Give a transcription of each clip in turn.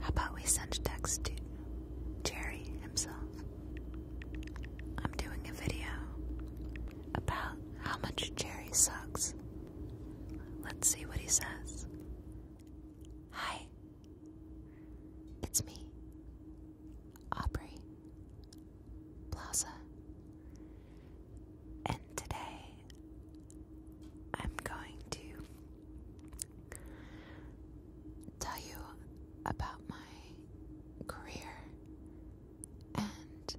How about we send text to Jerry himself? I'm doing a video about how much Jerry sucks. Let's see what he says. Hi, it's me, Aubrey Plaza, and today I'm going to tell you about my career and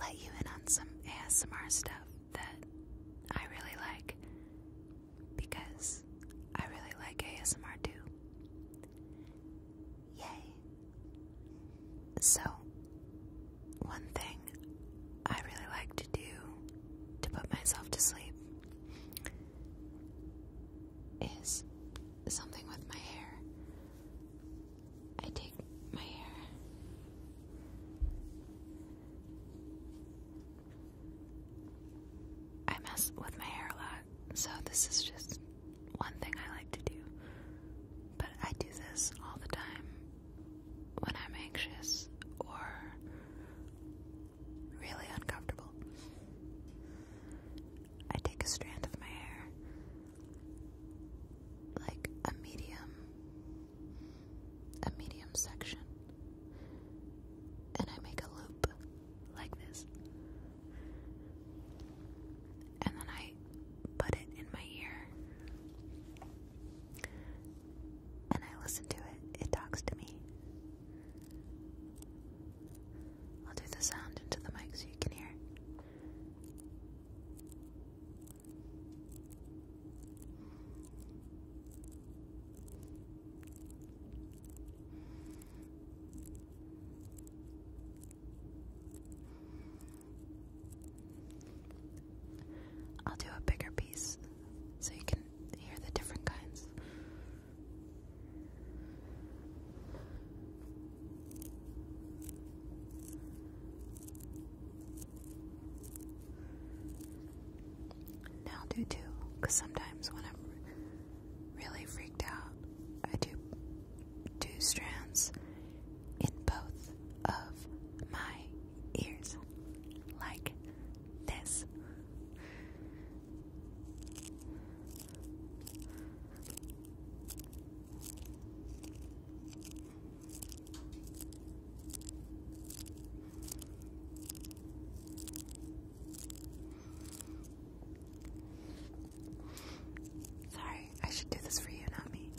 let you in on some ASMR stuff that I really like because I really like ASMR too. Yay! So, one thing I really like to do to put myself to sleep is something with my hair. I take my hair. I mess with my hair a lot, so this is just one thing I like to do. But I do this all the time when I'm anxious or really uncomfortable. I take a strand of my hair, like a medium, a medium section, and I make a loop like this. And then I put it in my ear and I listen to it, it talks to me. I'll do the sound into the mic so you can hear. I'll do a bigger piece so you can hear the different kinds. Now do too, because sometimes when I'm really freaked out, I do two strands in both of my ears like this. Sorry, I should do this for you, not me.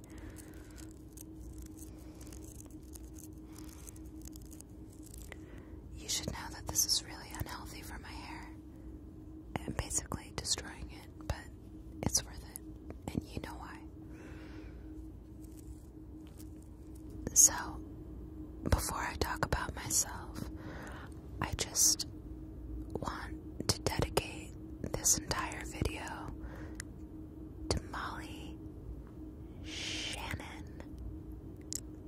You should know that this is really unhealthy for my hair. I'm basically destroying it, but it's worth it, and you know why. So, before I talk about myself, I just want to dedicate this entire video to Molly Shannon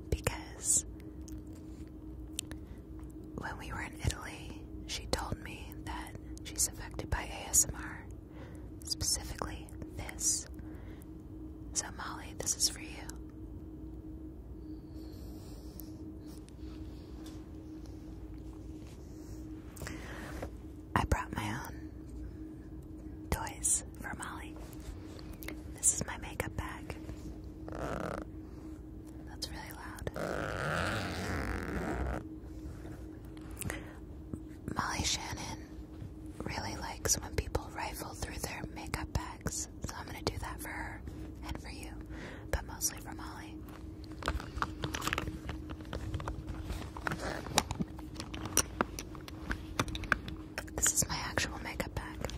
because when we were in Italy, she told me that she's affected by ASMR, specifically this. So, Molly, this is for you. I brought my own toys for Molly. This is my makeup bag. That's really loud. Molly Shannon really likes when people rifle through their makeup bags, so I'm gonna do that for her and for you, but mostly for Molly. This is my actual makeup bag.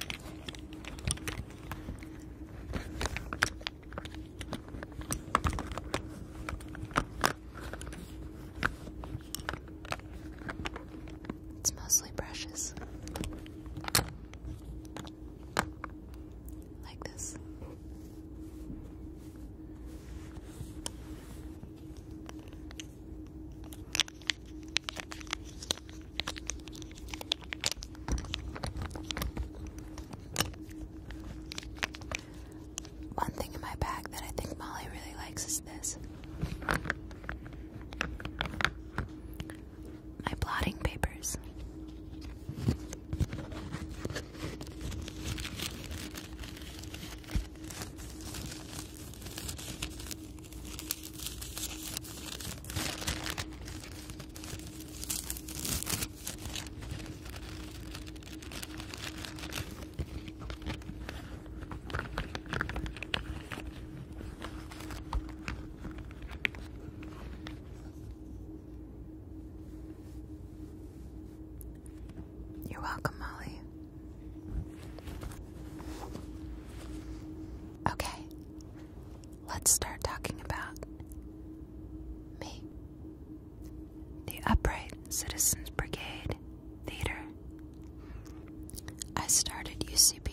It's mostly brushes. Like this. One thing in my bag that I think Molly really likes is this my blotting papers. You're welcome, Molly. Okay, let's start talking about me. The Upright Citizens Brigade Theater. I started UCB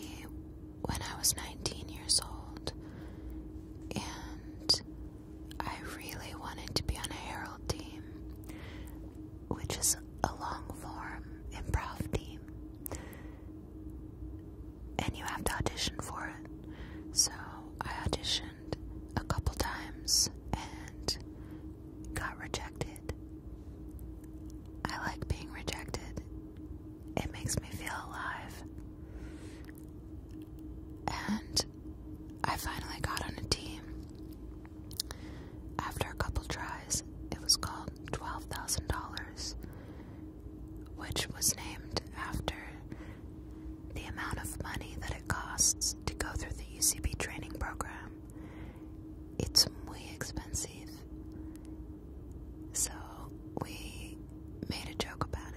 when I was 19 years old, and I really wanted to be on a Herald team which is a long form improv team, and you have to audition for it. So I auditioned a couple times and got rejected. I like being rejected, it makes me feel alive. And I finally got on a team. After a couple tries, it was called $12,000, which was named after the amount of money that it costs to go through the UCB training program. It's way expensive. So we made a joke about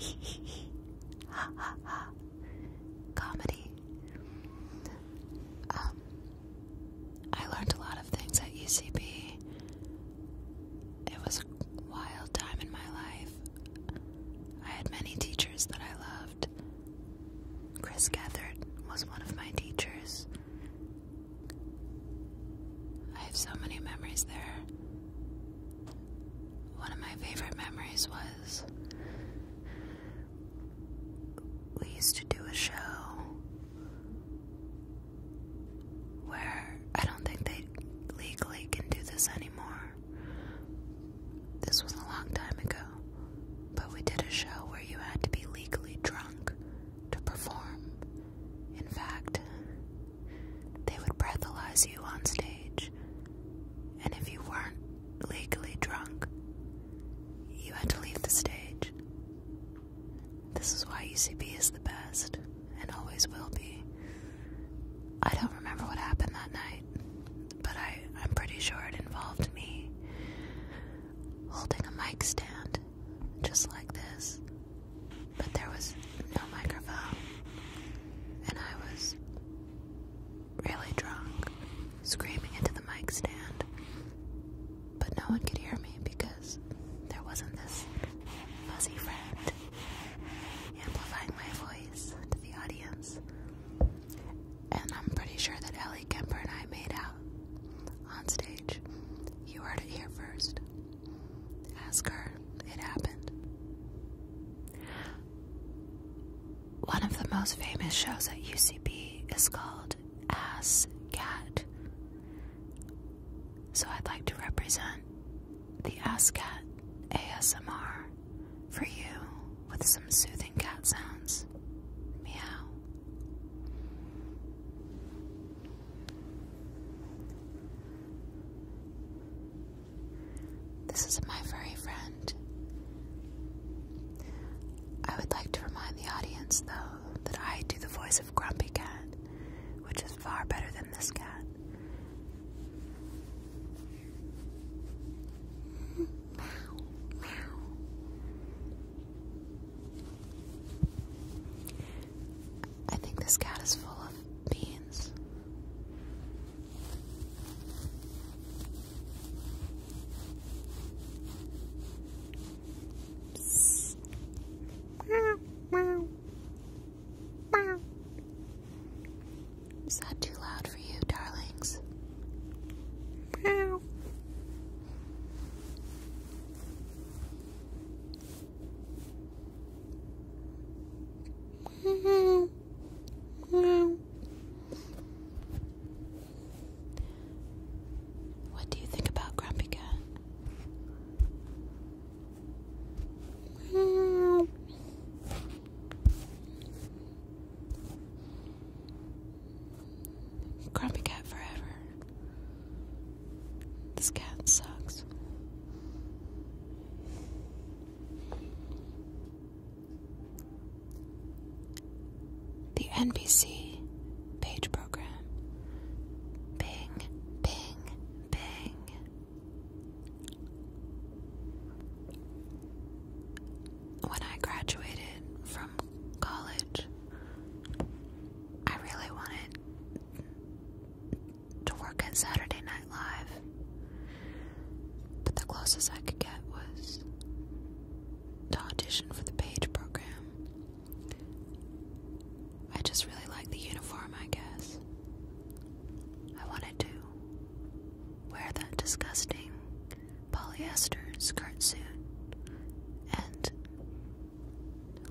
it. ha ha ha comedy. Um, I learned a lot of things at UCB. It was a wild time in my life. I had many teachers that I loved. Chris Gethard was one of my teachers. I have so many memories there one of my favorite memories was we used to do a show where I don't think they legally can do this anymore. This was a long time ago, but we did a show where you had to be legally drunk to perform. In fact, they would breathalyze you on stage and if you weren't legally drunk, you had to leave the stage. This is why UCB is the best, and always will be. I don't remember what happened that night, but I, I'm pretty sure it involved me holding a mic stand, just like this. But there was no microphone, and I was really drunk, screaming into the mic stand. But no one could hear me because there wasn't this fuzzy friend amplifying my voice to the audience. And I'm pretty sure that Ellie Kemper and I made out on stage. You heard it here first. Ask her. It happened. One of the most famous shows at UCB is called Ass Cat. So I'd like to represent the Ass Cat ASMR for you with some soothing cat sounds. Meow. This is my furry friend. I would like to remind the audience, though, that I do the voice of Grumpy Cat, which is far better than this cat. Meow, meow. I think this cat is full of beans. Is that too loud for you, darlings? Meow. What do you think about Grumpy Cat? Grumpy Cat forever. This cat sucks. The NBC page program. Bing, bing, bing. When I graduated from college, I really wanted to work at Saturday night. Live. But the closest I could get was audition for the Page program. I just really liked the uniform, I guess. I wanted to wear that disgusting polyester skirt suit and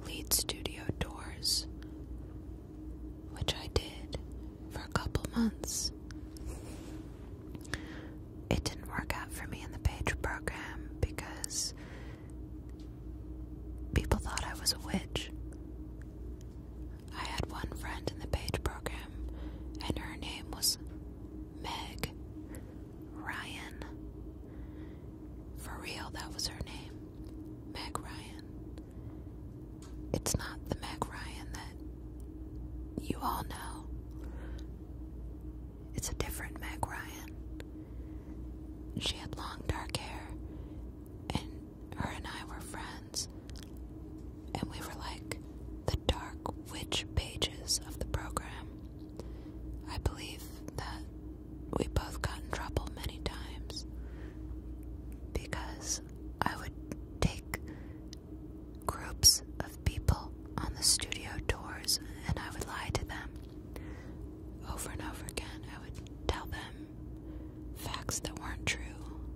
lead studio doors, which I did for a couple months. It didn't work out for me in the page program because people thought I was a witch. I had one friend in the page program, and her name was Meg Ryan. For real, that was her name. Meg Ryan. It's not the Meg Ryan that you all know. It's a different Meg Ryan. She had long dark hair, and her and I were friends, and we were like the dark witch pages of the program. I believe that we both got in trouble many times because I would take groups of people on the studio doors, and I would lie to them over and over again. I would tell them facts that weren't true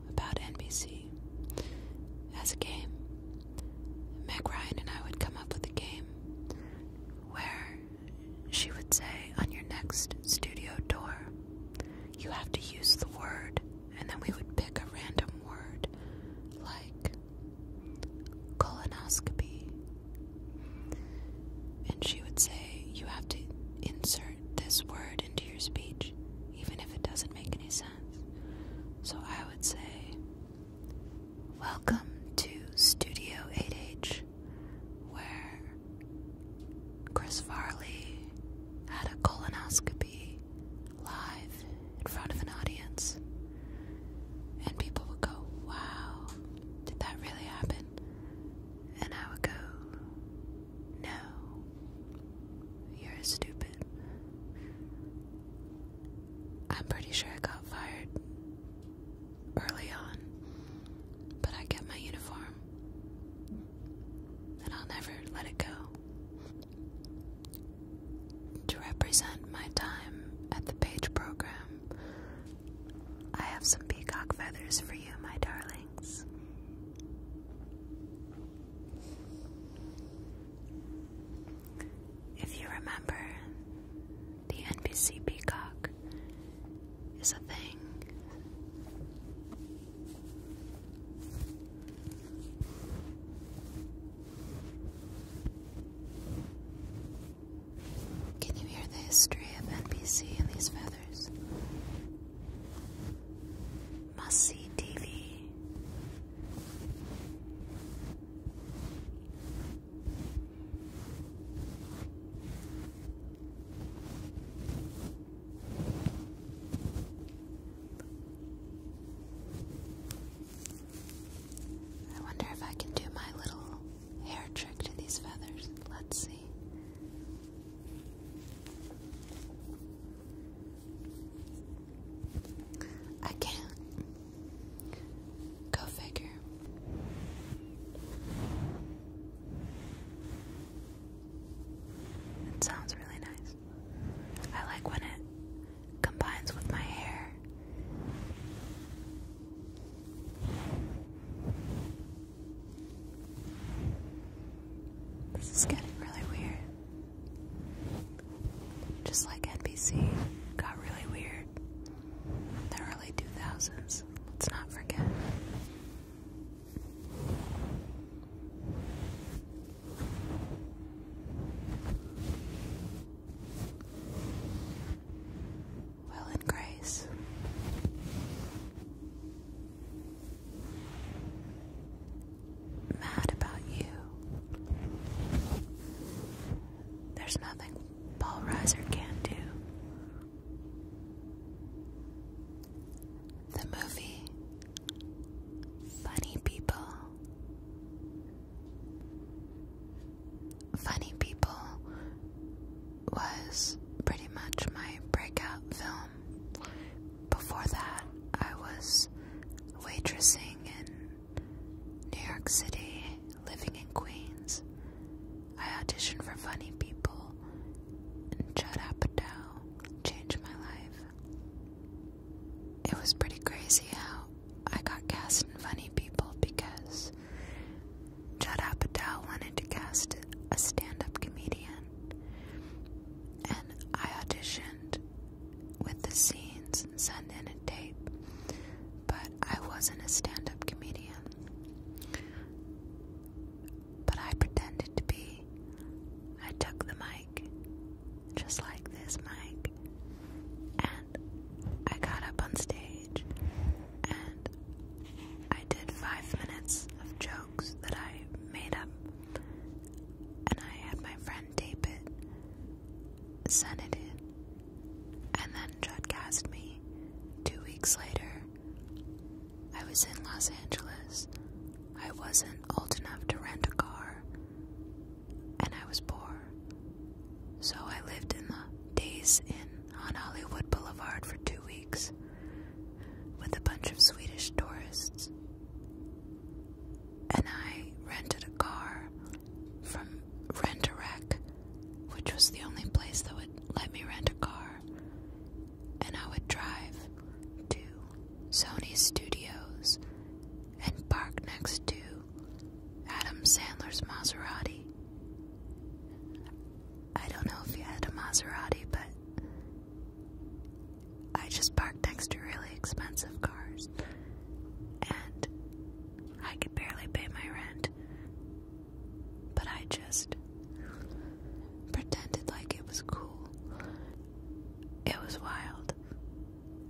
about NBC as a game. Meg Ryan and I would come up with a game where she would say, on your next studio tour, you have to use the word and then we would pick a random word like colonoscopy. And she would say, You have to insert this word into your speech, even if it doesn't make any sense. So I would say, Welcome to Studio 8H, where Chris Farley had a colonoscopy live in front of an audience, and people would go, Wow, did that really happen? And I would go, No, you're stupid. I'm pretty sure I got fired early on, but I kept my uniform and I'll never let it go. To represent my time at the page program, I have some peacock feathers for you, my darlings. If you remember, the NBC peacock is a thing can you hear the history of NBC in these feathers? Must see TV. I wonder if I can do my little hair trick to these feathers. Let's see. I can't. Go figure. It sounds really nice. I like when it combines with my hair. This is getting really weird. Just like NBC got really weird in the early 2000s. Let's not forget. Will and grace. Mad about you. There's nothing Paul Reiser can do the movie Funny People. Funny People was pretty much my breakout film. Before that, I was waitressing in New York City, living in Queens. I auditioned for Funny People and Apatow changed my life. It was pretty crazy how I got cast in Funny People because Judd Apatow wanted to cast a stand-up comedian, and I auditioned with the scenes sent in a tape, but I wasn't a stand-up comedian but I pretended to be. I took the mic, just like this mic, and I got up on stage and I did five minutes of jokes that I made up, and I had my friend tape it, send it in, and then Judd cast me two weeks later I was in Los Angeles. I wasn't old enough to rent a car, and I was poor. So I lived in the Days Inn on Hollywood Boulevard for two weeks with a bunch of Swedish tourists. And I rented a car from Rent a Wreck, which was the only place that would let me rent a car. And I would drive to Sony Studios, and parked next to Adam Sandler's Maserati. I don't know if he had a Maserati, but I just parked next to really expensive cars, and I could barely pay my rent. But I just Pretended like it was cool. It was wild.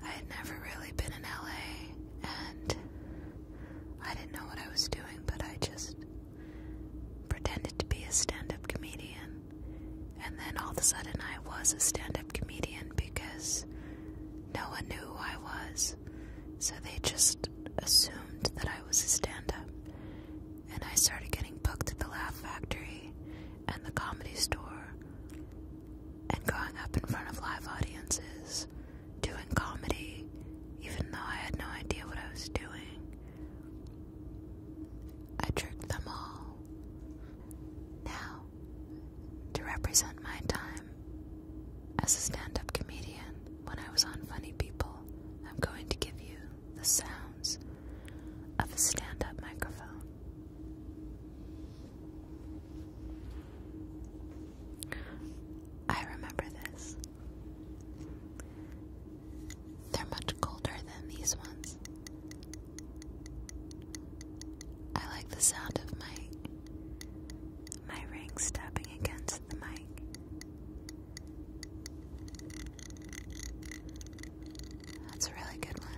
I had never really been in LA and I didn't know what I was doing, but I just pretended to be a stand up comedian. And then all of a sudden I was a stand up comedian because no one knew who I was. So they just assumed that I was a stand up and I started getting booked at the Laugh Factory and the Comedy Store and growing up in front of live audiences, doing comedy, even though I had no idea what I was doing. I tricked them all. Now, to represent my time as a stand up comedian when I was on Funny People, I'm going to give you the sounds of a stand up microphone. I remember this. They're much colder than these ones. I like the sound of my my rings tapping against the mic. That's a really good one.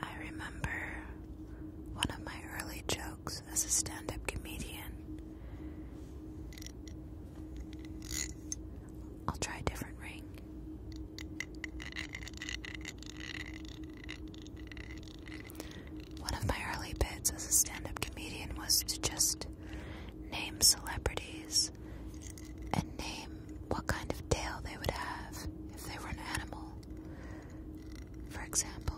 I remember one of my early jokes as a stand up comedian I'll try a different ring. One of my early bits as a stand up comedian was to just name celebrities and name what kind of tail they would have if they were an animal. For example,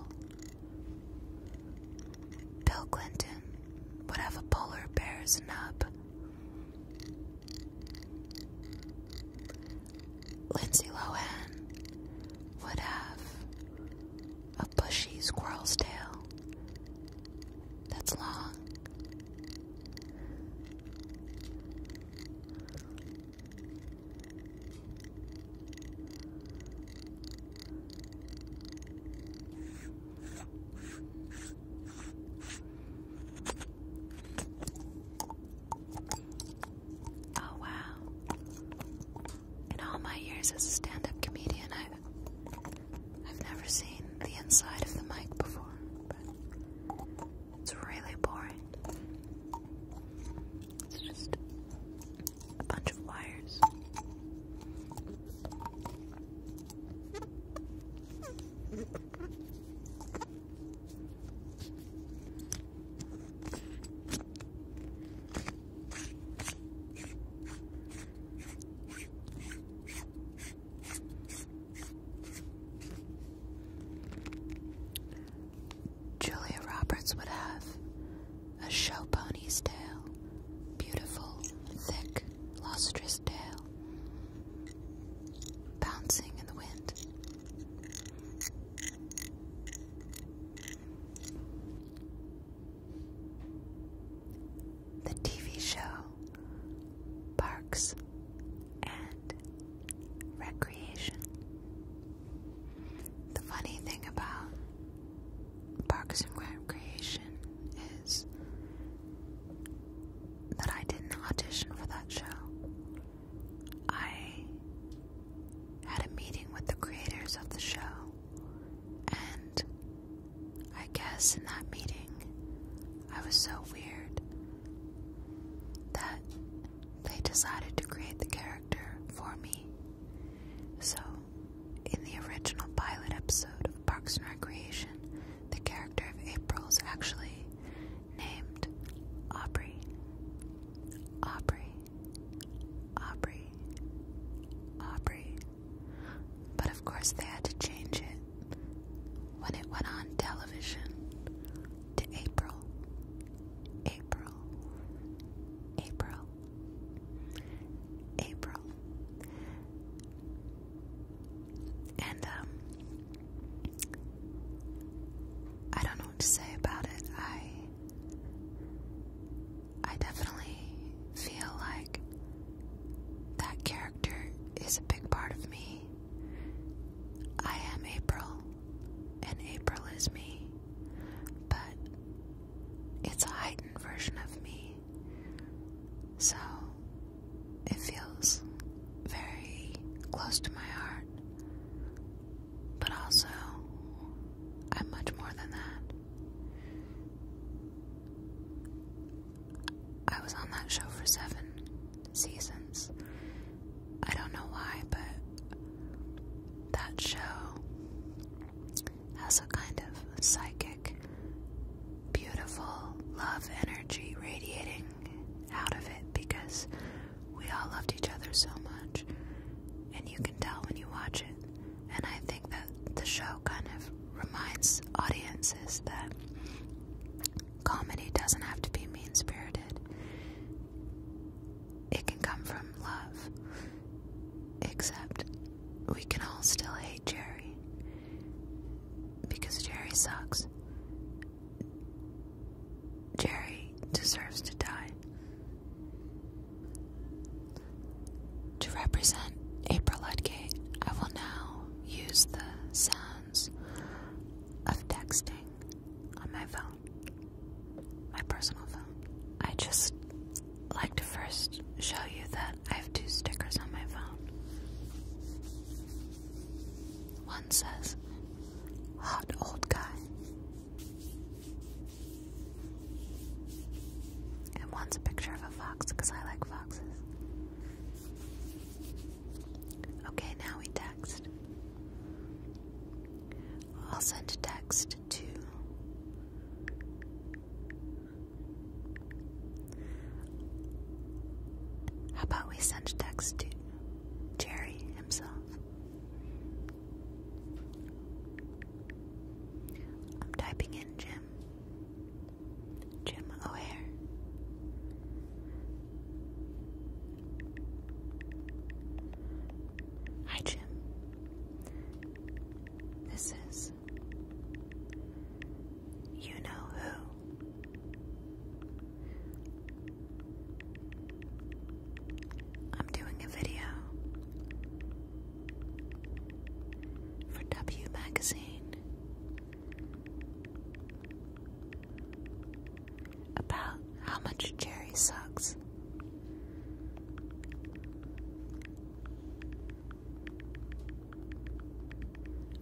Bill Clinton would have a polar bear's nub. Lindsay Lohan would have a bushy squirrel's tail that's long. Oh, wow. In all my years as a stand up comedian, I've, I've never seen the inside of the mic before, it's really boring. It's just a bunch of wires. Julia Roberts would have a show pony's tail, beautiful, thick, lustrous tail, bouncing in the wind. The TV show Parks and Recreation. The funny thing about Parkinson and creation is that I didn't audition for that show. I had a meeting with the creators of the show, and I guess in that meeting, I was so weird that they decided to create the character for me. So in the original pilot episode of Parks and Recreation, the character of April is actually named Aubrey. Aubrey. Aubrey. Aubrey. But of course, they had to change it when it went on television to April. April. April. April. And, um, I don't know what to say about it. I, I definitely feel like that character is a big part of me. I am April, and April is me. But it's a heightened version of me. So it feels very close to my heart. But also, I'm much more than that. I was on that show for seven seasons. I don't know why, but that show has a kind of psychic, beautiful love energy radiating out of it because we all loved each other so much. And you can tell when you watch it. And I think that the show kind of reminds audiences that comedy doesn't have to be mean spirited, it can come from love. Except we can all still hate Jerry. Because Jerry sucks. Jerry deserves to die. To represent April Ludgate, I will now use the sounds of texting on my phone, my personal phone. I just like to first show you that. I have two stickers on my phone. One says, Hot Old Guy. And one's a picture of a fox because I like foxes. Okay, now we text. I'll send a text to how about we send a text to Jerry himself? I'm typing in Jim. Jim O'Hare. Hi, Jim. This is you know who. I'm doing a video for W Magazine about how much Jerry sucks.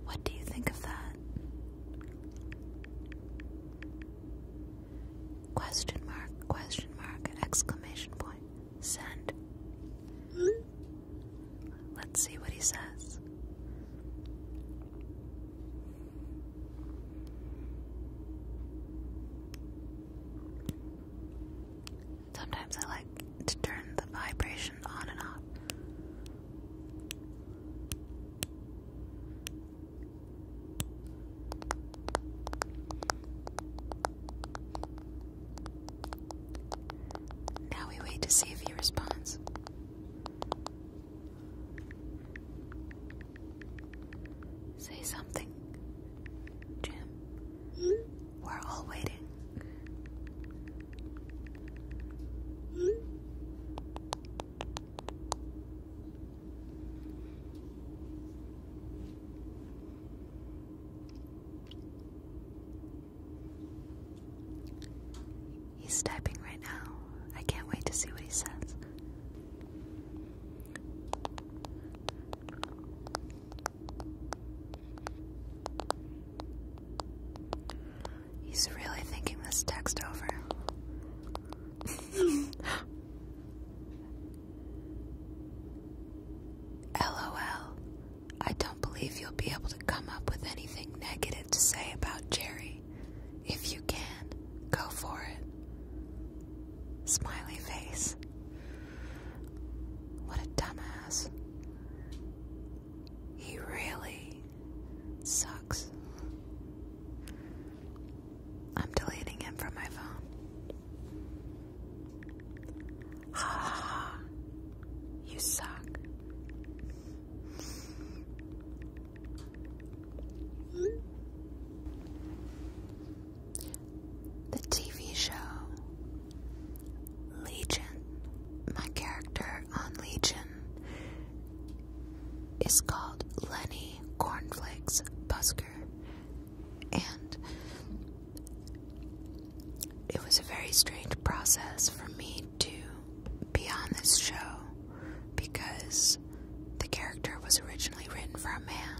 What do you think of that? Question mark, question mark, exclamation point. Send. Let's see what he says. Sometimes I like to turn the vibration on and off. Now we wait to see if he responds. Say something, Jim. Hmm? We're all waiting. He's typing right now. I can't wait to see what he says. He's really thinking this text over. LOL. I don't believe you'll be able to come up with anything negative to say about Jerry. If you can, go for it. Smiley face. What a dumbass. He really sucks. I'm deleting him from my phone. Ha ha ha. You suck. The TV show Legion, my character on Legion, is called Lenny Cornflakes Busker, and it was a very strange process for me to be on this show because the character was originally written for a man.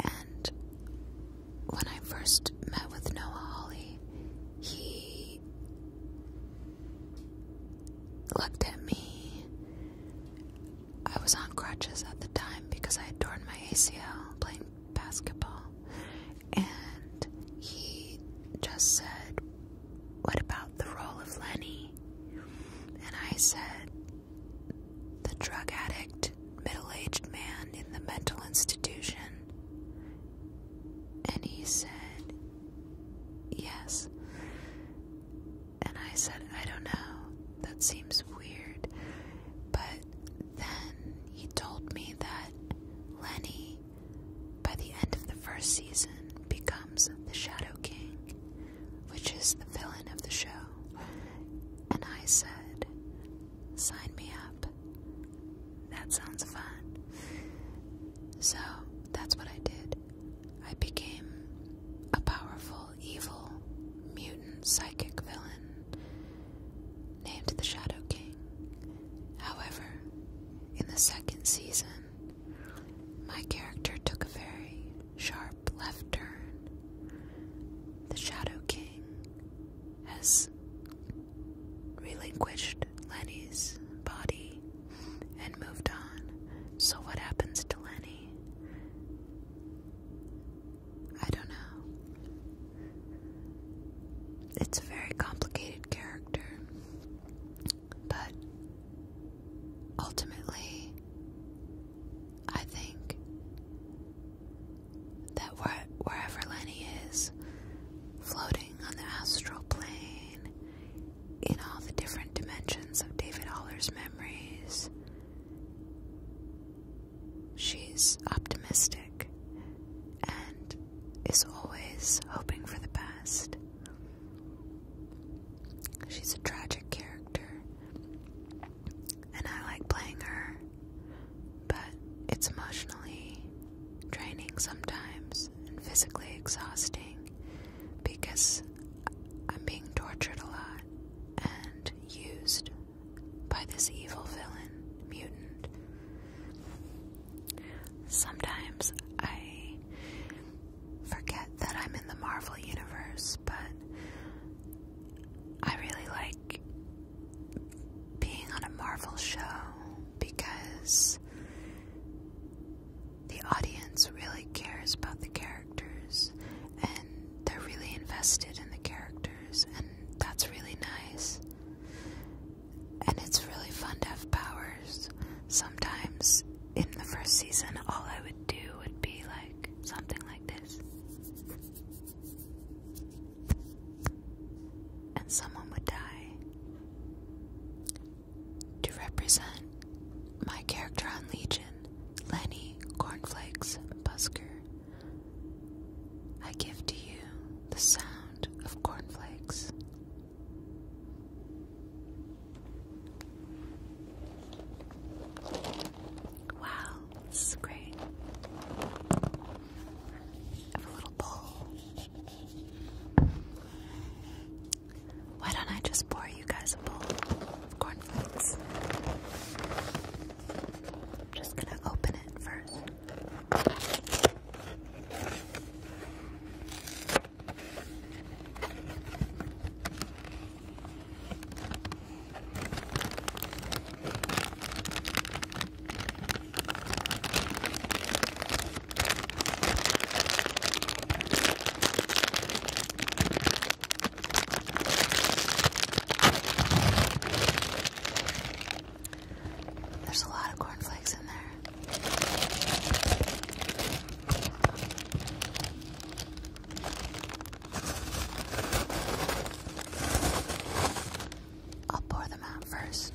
And when I first met with Noah Holly, he looked at me. I was on crutches at the time because I had torn my ACL playing basketball. And he just said, What about the role of Lenny? And I said, the drug addict, middle aged man in the mental institution. And he said, Yes. And I said, I don't know. That seems weird. But then he told me that Lenny, by the end of the first season, becomes the Shadow King, which is the villain of the show. And I said, Sign me up. That sounds fun. So that's what I did. I became a powerful, evil, mutant psychic villain named the Shadow King. However, in the second season, my character took a very sharp left turn, the Shadow King has relinquished Lenny's body and moved on. So, what happens to Lenny? I don't know. It's a very complicated character, but ultimately, I think that wherever Lenny is, floating on the astral plane, in all the different dimensions of David Haller's memories, she's optimistic and is always hoping for the best. She's a tragic character and I like playing her, but it's emotionally draining sometimes and physically exhausting because I'm being tortured a lot and used by this evil villain, mutant. Sometimes I forget that I'm in the Marvel Universe, but I really like being on a Marvel show because the audience really cares about the characters and they're really invested in the characters, and that's really nice. And it's really fun to have powers. Sometimes in the first season, all I would do would be like something like this and someone would die. To represent my character on Legion, Lenny Cornflakes Busker, I give to you the sound of cornflakes. Wow, this is great. have a little bowl. Why don't I just pour you guys a bowl of cornflakes? I'm just gonna open it first. There's a lot of cornflakes in there. I'll pour them out first.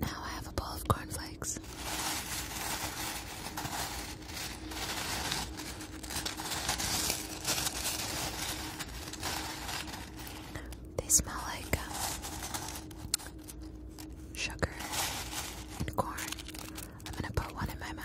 Now I have a bowl of cornflakes. They smell like um, sugar and corn. I'm gonna put one in my mouth.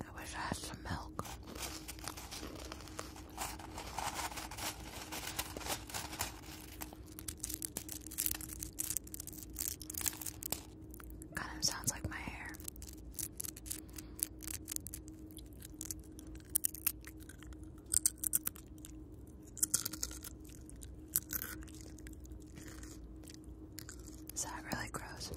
I wish I had some milk. Kind of sounds like my hair. Is that really gross?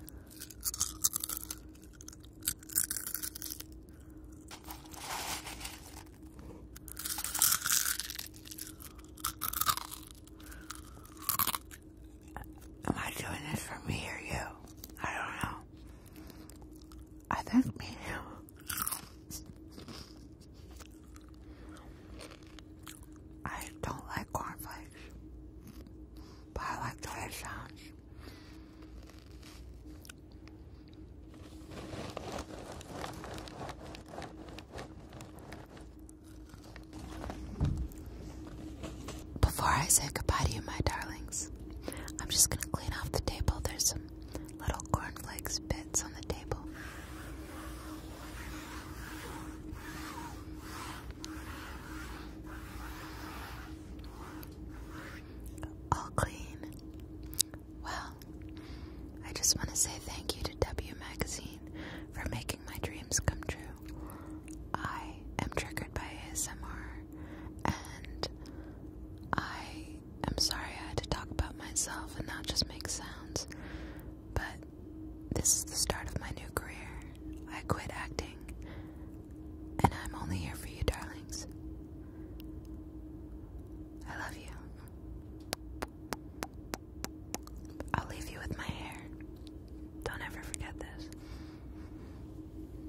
Am I doing this for me or you? I don't know. I think me. I don't like cornflakes, but I like the way it sounds. Before I say goodbye to you, my darlings, I'm just gonna clean off the table. There's some little cornflakes bits on the table. All clean. Well, I just want to say thank you to W Magazine for making my dreams come true. I am triggered by ASMR and I I'm sorry I had to talk about myself and not just make sounds, but this is the start of my new career. I quit acting, and I'm only here for you, darlings. I love you. I'll leave you with my hair. Don't ever forget this.